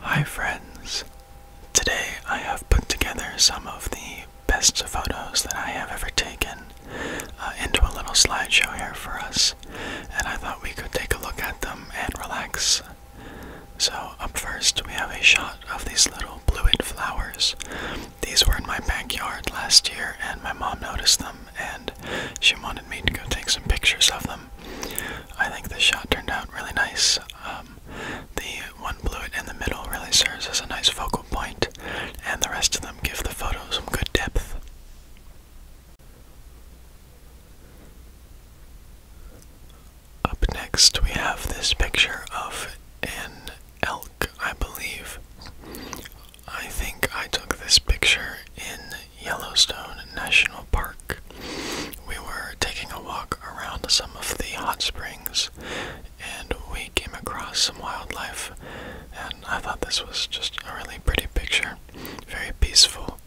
Hi friends! Today I have put together some of the best photos that I have ever taken uh, into a little slideshow here for us, and I thought we could take a look at them and relax. So, up first, we have a shot of these little bluid flowers. These were in my backyard last year, and my mom noticed them, and she wanted me to go take some pictures of them. I think this shot turned out really nice. Um, the one bluet in the middle really serves as a nice focal point, and the rest of them give the photo some good depth. Up next, we have this picture of an elk, I believe. I think I took this picture in Yellowstone National Park. We were taking a walk around some of the hot springs and we came across some wildlife, and I thought this was just a really pretty picture. Very peaceful.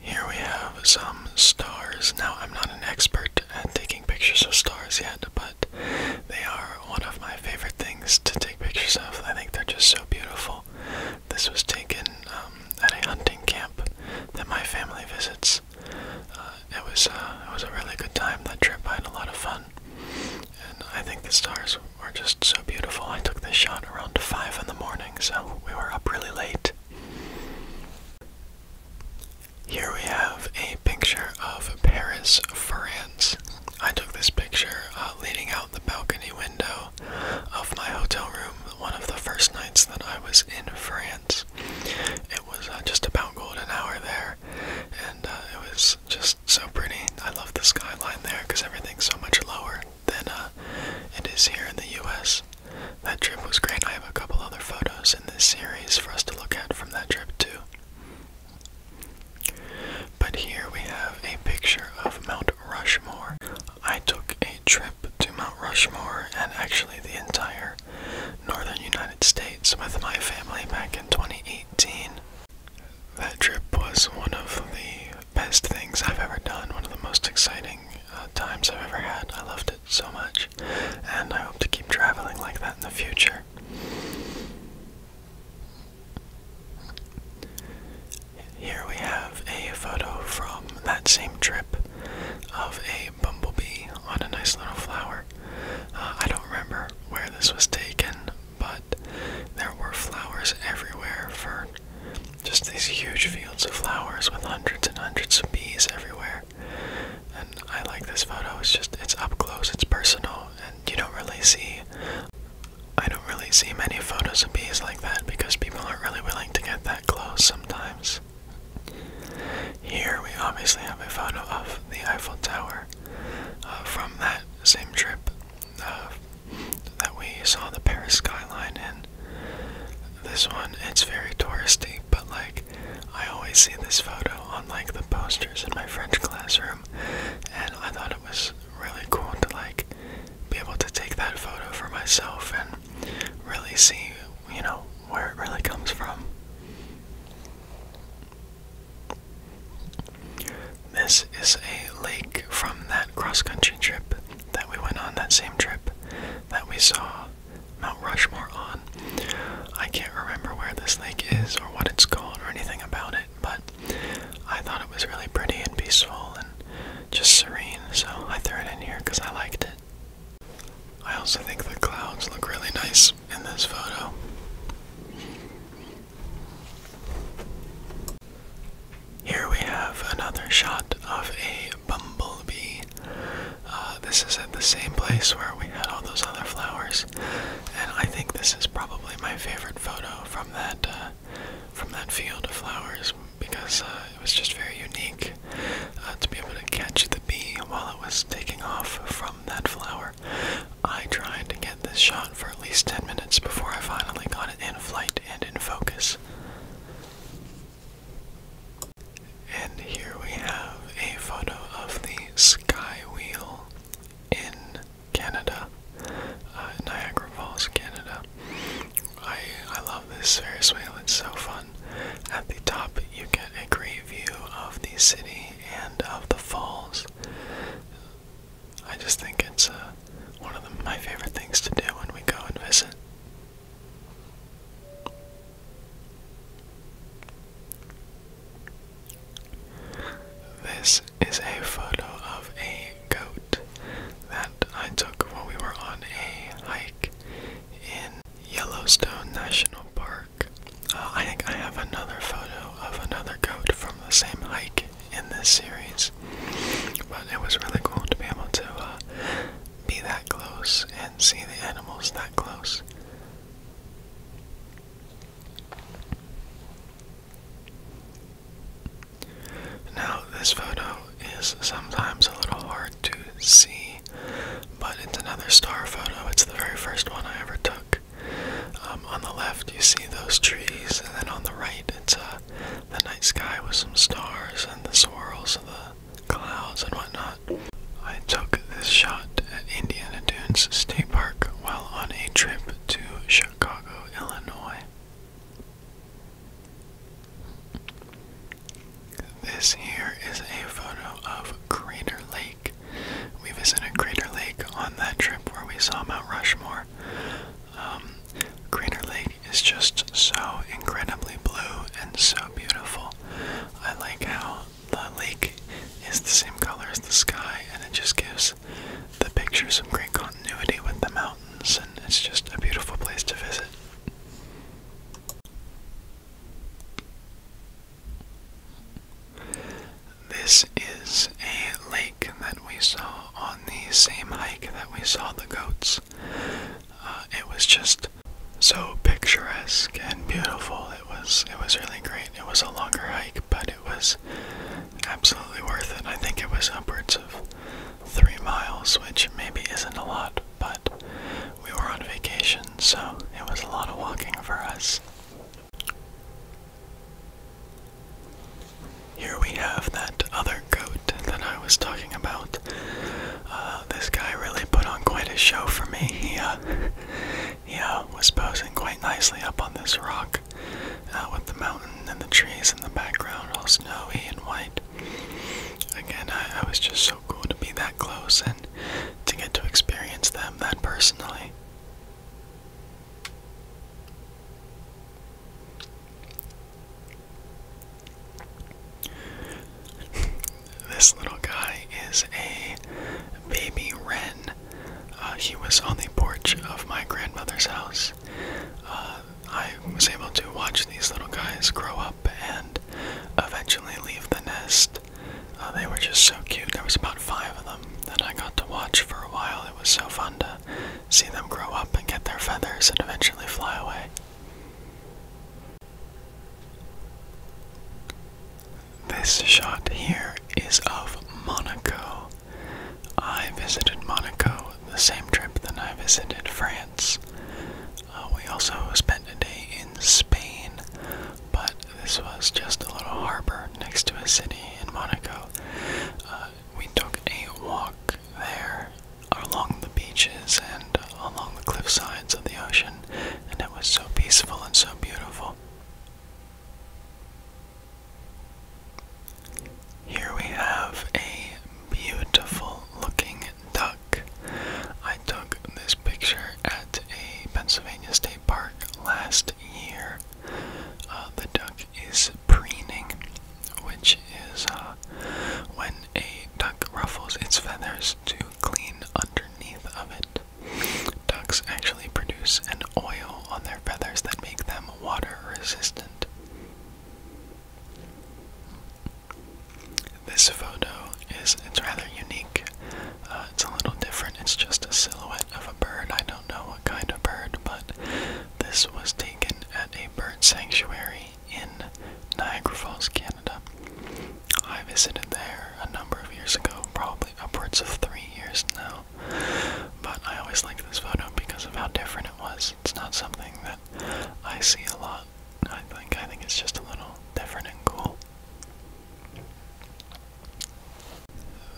Here we have some stars. Now, I'm not an expert at taking pictures of stars yet, but they are one of my favorite things to take pictures of. I think they're just so beautiful. This was taken um, at a hunting camp that my family visits. Uh, it was uh, it was a really good time. That trip I had a lot of fun, and I think the stars were just so beautiful. I took this shot around five in the morning, so we were up really late. Here we have a picture of Paris, France. I took this picture uh, leaning out the balcony window of my hotel room one of the first nights that I was in France. It was uh, just about golden hour there, and uh, it was just so pretty. I love the skyline there because everything's so much lower than uh, it is here in the US. That trip was great. I have a couple other photos in this series for us to look at from that trip, too. But here we have a picture of Mount Rushmore. I took a trip to Mount Rushmore and actually the entire northern United States with my family back in 2018. That trip was one of the best things I've ever done, one of the most exciting uh, times I've ever had. I loved it so much, and I hope to keep traveling like that in the future. Here we have a photo from that same trip of a bumblebee on a nice little flower. Uh, I don't remember where this was taken, but there were flowers everywhere for just these huge fields of flowers with hundreds and hundreds of bees everywhere and I like this photo. It's just it's up close, it's personal, and you don't really see. I don't really see many photos of bees like that because people aren't really willing to get that close sometimes. Here we obviously have a photo of the Eiffel Tower uh, from that same trip uh, that we saw the Paris skyline in. This one, it's very touristy, but like I always see this photo on like the posters in my French classroom, and I thought it was really cool to like be able to take that photo for myself and really see, you know, where it really comes from. This is a lake from that cross country trip that we went on that same trip that we saw Mount Rushmore on. I can't remember where this lake is or what it's called or anything about it, but I thought it was really pretty and peaceful and just serene, so I threw it in here because I liked it. I also think the clouds look really nice in this photo. Here we have another shot of a bumblebee. Uh, this is at the same place where we had all those other flowers and I think this is probably my favorite photo from that uh, from that field of flowers because uh, it was just very unique uh, to be able to catch the bee while it was taking off from that flower. I tried to get this shot for at least 10 minutes before I finally got it in flight and in focus. And here we have a photo of the sky wheel in Canada, uh, Niagara Falls, Canada. I I love this Ferris wheel. It's so fun. At the top, you get a great view of the city and of the falls. I just think it's uh, one of my favorite things to do when we go and visit. This is a photo of a goat that I took while we were on a hike in Yellowstone National Park. Uh, I think I have another photo of another goat from the same hike in this series, but it was really cool to be able to uh, be that close and see the animals that close. Now, this photo is sometimes a little hard to see, but it's another star photo. It's the very first one I ever took. Um, on the left, you see those trees, and then on the right, it's a uh, the night sky with some stars and the swirls of the clouds and whatnot. I took this shot at Indiana Dunes State Park while on a trip to Chicago, Illinois. This here is a photo of Crater Lake. We visited Crater Lake on that trip where we saw Mount Rushmore. Um, Crater Lake is just so incredibly blue and so beautiful. I like how the lake is the same color as the sky, and it just gives the picture some great continuity with the mountains, and it's just a beautiful place to visit. This is a lake that we saw on the same hike that we saw the goats. Uh, it was just so picturesque and beautiful it was it was really great. It was a longer hike, but it was absolutely worth it. I think it was upwards of three miles, which maybe isn't a lot, but we were on vacation, so it was a lot of walking for us. Here we have that other goat that I was talking about. Uh, this guy really put on quite a show for me. He, uh, he was posing quite nicely up on this rock uh, with the mountain and the trees in the background, all snowy and white. Again, I was just so cool to be that close and to get to experience them that personally. this little guy is a baby wren uh, he was on the porch of my grandmother's house. Uh, I was able to watch these little guys grow up and eventually leave the nest. Uh, they were just so cute. There was about five of them that I got to watch for a while. It was so fun to see them grow up and get their feathers and eventually fly away. This shot here is of Monaco. I visited Monaco the same trip that I visited France. Uh, we also spent a day in Spain, but this was just a little harbor next to a city in Monaco. Uh, we took a walk there along the beaches and along the cliff sides of the ocean, and it was so peaceful and so beautiful. Here we have a beautiful looking duck. I took this picture at a Pennsylvania State Park last year. Uh, the duck is preening, which is uh, when a duck ruffles its feathers to clean underneath of it. Ducks actually produce an oil on their feathers that make them water resistant. This photo is it's rather unique. Uh, it's a little different. It's just a silhouette of a bird. I don't know what kind of bird, but this was taken at a bird sanctuary in Niagara Falls, Canada. I visited there a number of years ago, probably upwards of three years now. But I always like this photo because of how different it was. It's not something that I see a lot. I think I think it's just a little different and cool.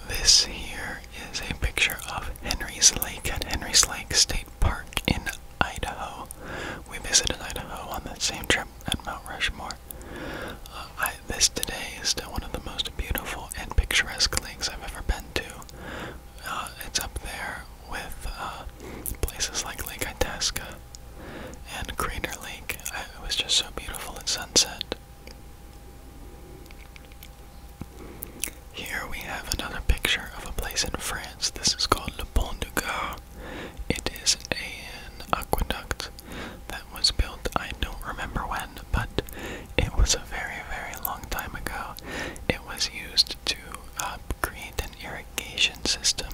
This here is a picture of Henry's Lake at Henry's Lake State Park in Idaho. We visited Idaho on that same trip at Mount Rushmore. Uh, this today is still one of the most beautiful and picturesque lakes I've ever been to. Uh, it's up there with uh, places like Lake Itasca and Crater Lake. it was just so beautiful at sunset. Here we have another picture of a place in France. This is called Le Pont du Gard. It is an aqueduct that that was built. I don't remember when, but it was a very, very long time ago. It was used to create an irrigation system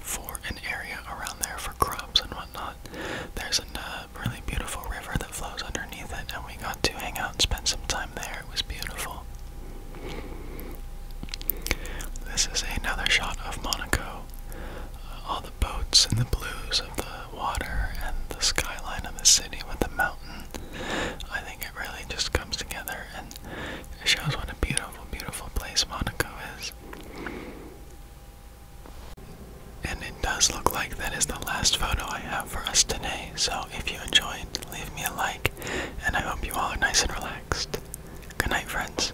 for an area around there for crops and whatnot. There's a really beautiful river that flows underneath it, and we got to hang out and spend some time there. It was beautiful. This is another shot of Monaco boats and the blues of the water and the skyline of the city with the mountain. I think it really just comes together and it shows what a beautiful, beautiful place Monaco is. And it does look like that is the last photo I have for us today. So if you enjoyed, leave me a like, and I hope you all are nice and relaxed. Good night, friends.